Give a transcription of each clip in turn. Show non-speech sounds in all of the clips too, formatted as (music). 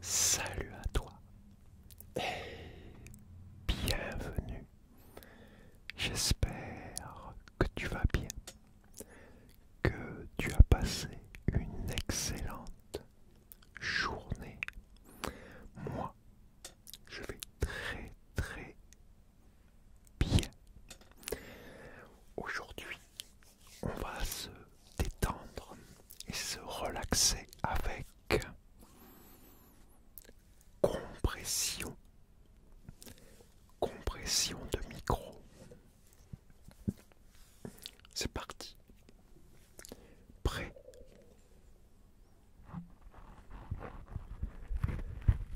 salut à toi bienvenue. J'espère que tu vas bien, que tu as passé une excellente journée. Moi, je vais très très bien. Aujourd'hui, on va se détendre et se relaxer avec compression, compression de micro. C'est parti. Prêt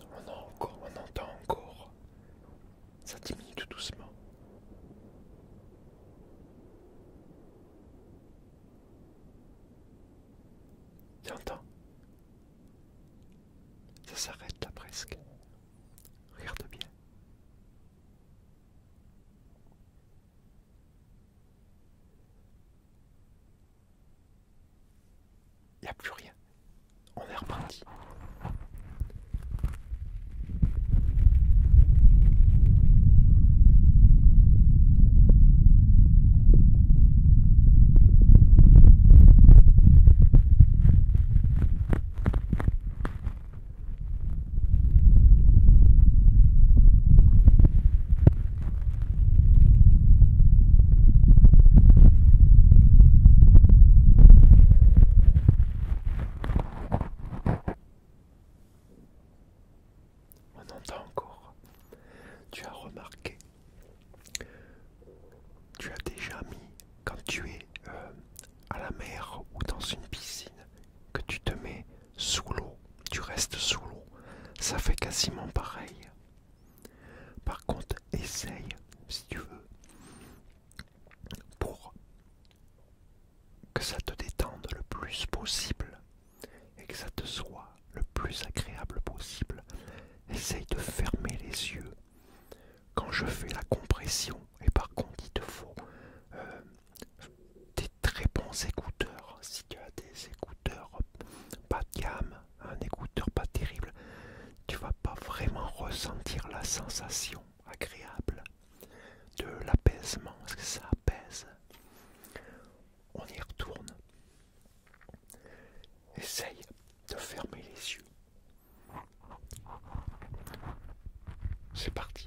On, entend encore, on entend encore. Ça diminue tout doucement. J'entends ça s'arrête là presque. Regarde bien. Il n'y a plus rien. On est reparti. On entend encore. Tu as remarqué tu as déjà mis, quand tu es euh, à la mer ou dans une piscine, que tu te mets sous l'eau, tu restes sous l'eau, ça fait quasiment pareil. Par contre, essaye, si tu veux, pour que ça te détende le plus possible et que ça te soit le plus agréable possible, Essaye de fermer les yeux. Quand je fais la compression, et par contre il te faut euh, des très bons écouteurs. Si tu as des écouteurs pas de gamme, un écouteur pas terrible, tu vas pas vraiment ressentir la sensation agréable de l'apaisement. ce que ça apaise. On y retourne. Essaye de fermer les yeux. C'est parti.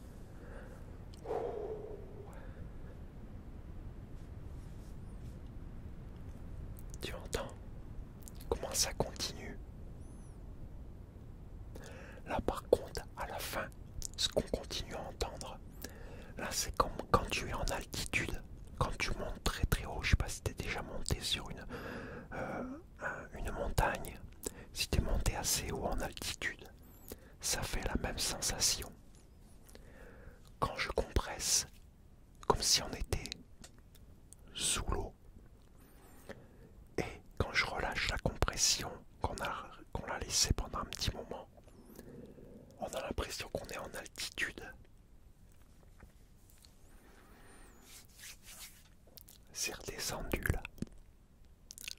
Tu entends comment ça continue Là par contre, à la fin, ce qu'on continue à entendre, là c'est comme quand tu es en altitude, quand tu montes très très haut, je sais pas si es déjà monté sur une, euh, montagne, si tu es monté assez haut en altitude, ça fait la même sensation. Quand je compresse, comme si on était sous l'eau. Et quand je relâche la compression qu'on a, qu'on laissée pendant un petit moment, on a l'impression qu'on est en altitude. C'est redescendu là.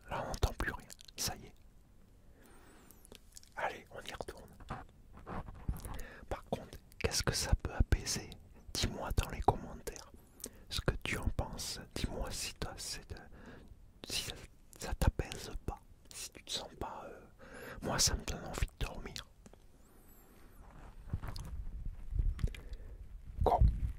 Là, on n'entend plus rien. Ça y est. Allez, on y retourne. Par contre, qu'est-ce que ça peut apaiser Dis-moi dans les commentaires ce que tu en penses. Dis-moi si, toi, si ça, t'apaise pas. Si tu te sens pas... Euh, moi, ça me donne envie de dormir. Quoi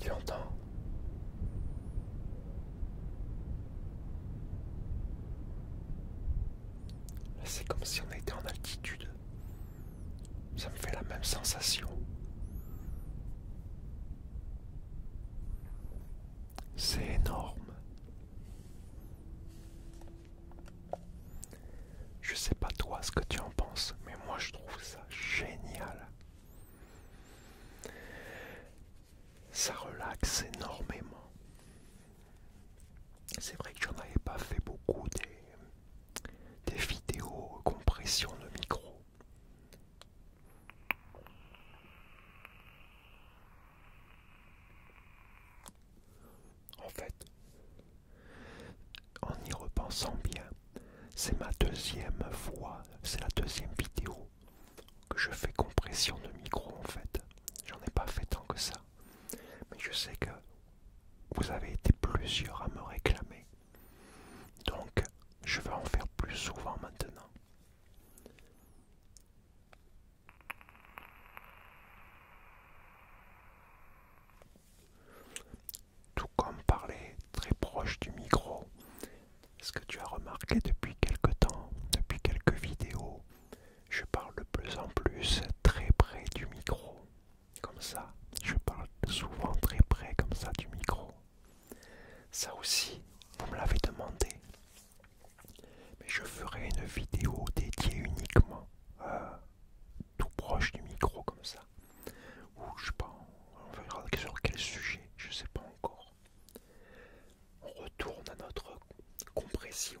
Tu entends C'est comme si on était en altitude. Ça me fait la même sensation. C'est énorme. Je sais pas toi ce que tu en penses, mais moi je trouve ça génial. Ça relaxe énormément. C'est vrai que j'en avais pas fait beaucoup des, vidéos compression de micro. En fait, en y repensant bien, c'est ma deuxième fois, c'est la deuxième vidéo que je fais compression de micro en fait. J'en ai pas fait tant que ça. Mais je sais que vous avez été plusieurs à me réclamer donc, je vais en faire plus souvent maintenant. Tout comme parler très proche du micro, est ce que tu as remarqué depuis quelques temps, depuis quelques vidéos, je parle de plus en plus très près du micro comme ça. Je parle souvent très près comme ça du micro. Ça aussi, vous me l'avez demandé. Mais je ferai une vidéo dédiée uniquement euh, tout proche du micro comme ça. Ou je sais pas, on verra sur quel sujet, je sais pas encore. On retourne à notre compression.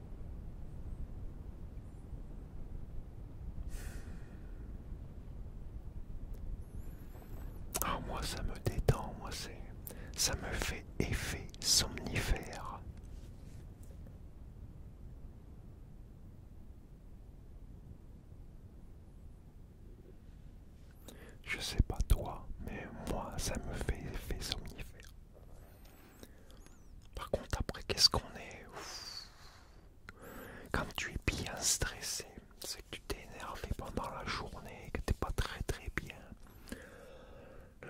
Ah, moi ça me détend, moi c'est. Ça me fait effet somnifère. Je sais pas toi, mais moi ça me fait effet somnifère. Par contre, après, qu'est-ce qu'on est, Quand tu es bien stressé, c'est que tu t'es énervé pendant la journée, que t'es pas très très bien.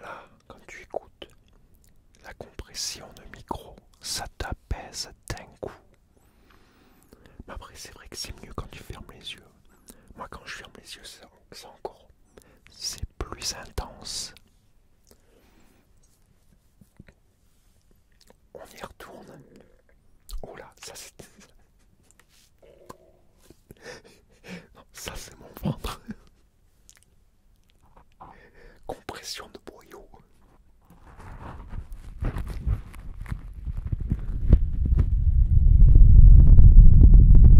Là, quand tu écoutes, la compression de micro, ça t'apaise d'un coup. Mais après, c'est vrai que c'est mieux quand tu fermes les yeux. Moi, quand je ferme les yeux, c'est encore. C'est plus intense. On y retourne. Oh là, ça c'est... (laughs) ça c'est mon ventre. (laughs) Compression de boyau.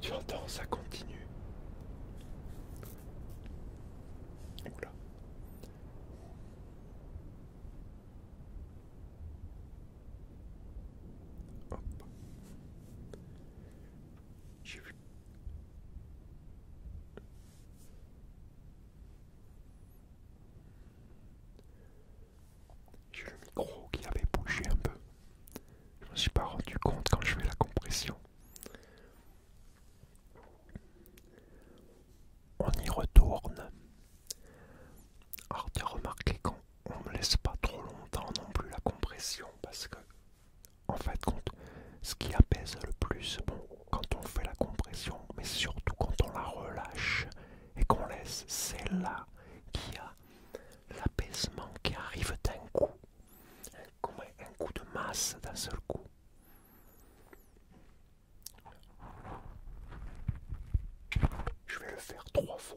Tu entends, ça continue. J'ai le micro qui avait bougé un peu. Je ne me suis pas rendu compte quand je fais la compression. On y retourne. Alors tu as remarqué qu'on ne laisse pas trop longtemps non plus la compression parce que en fait ce qui apaise le plus quand on fait la compression mais surtout quand on la relâche et qu'on laisse c'est là qui a l'apaisement qui arrive d'un coup comme un coup de masse d'un seul coup je vais le faire trois fois.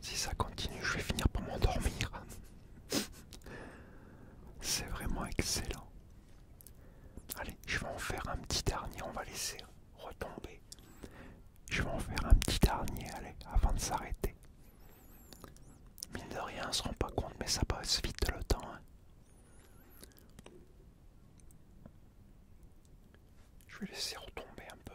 Si ça continue, je vais finir par m'endormir. C'est vraiment excellent. Allez, je vais en faire un petit dernier, on va laisser retomber. Je vais en faire un petit dernier, allez, avant de s'arrêter. Mine de rien, on se rend pas compte, mais ça passe vite le temps. Hein. Je vais laisser retomber un peu.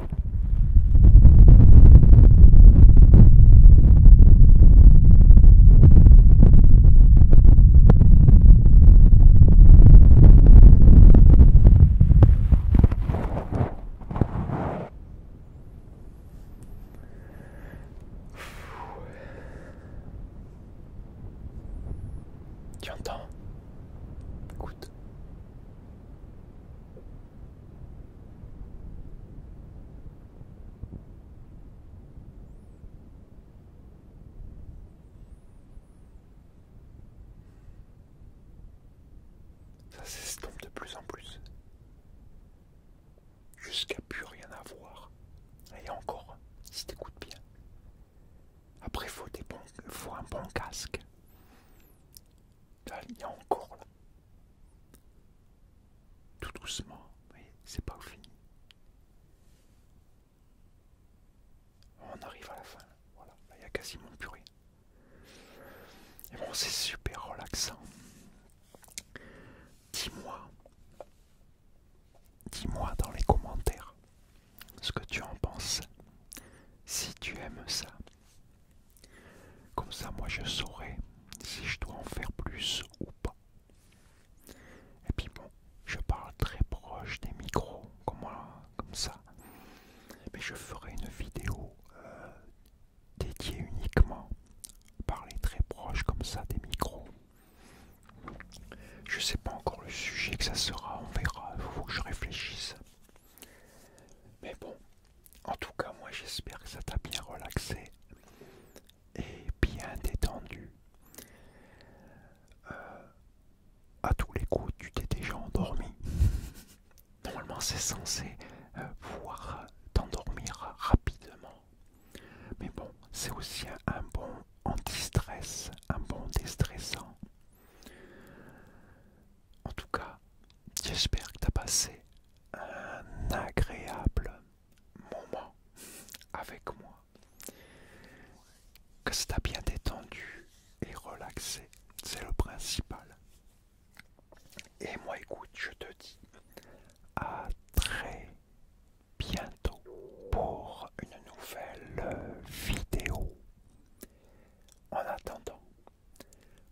Tu entends Écoute. Ça s'estompe de plus en plus. Jusqu'à plus rien à voir. Et encore, si t'écoute bien. Après, faut, des bons, faut un bon casque il y a encore là. Tout doucement, voyez, c'est pas fini. On arrive à la fin, voilà, il y a quasiment plus rien. Et bon, c'est super relaxant. Dis-moi, dis-moi dans les commentaires ce que tu en penses. Si tu aimes ça, comme ça, moi, je saurai si je dois en faire plus ou pas. Et puis bon, je parle très proche des micros, comme, ça. Mais je ferai une vidéo euh, dédiée uniquement. Parler très proche comme ça des micros. Je sais pas encore le sujet que ça sera, on verra, il faut que je réfléchisse. Mais bon, en tout cas, moi j'espère que ça t'a bien relaxé et bien détendu. A euh, à tous les coups, tu t'es déjà endormi. (laughs) Normalement, c'est censé euh, pouvoir t'endormir rapidement. Mais bon, c'est aussi un, un bon anti-stress, un bon déstressant. En tout cas, j'espère que tu as passé un agréable moment avec moi. Que ça t'a bien détendu et relaxé, c'est le principal. Et moi, écoute, je te dis à très bientôt pour une nouvelle vidéo. En attendant,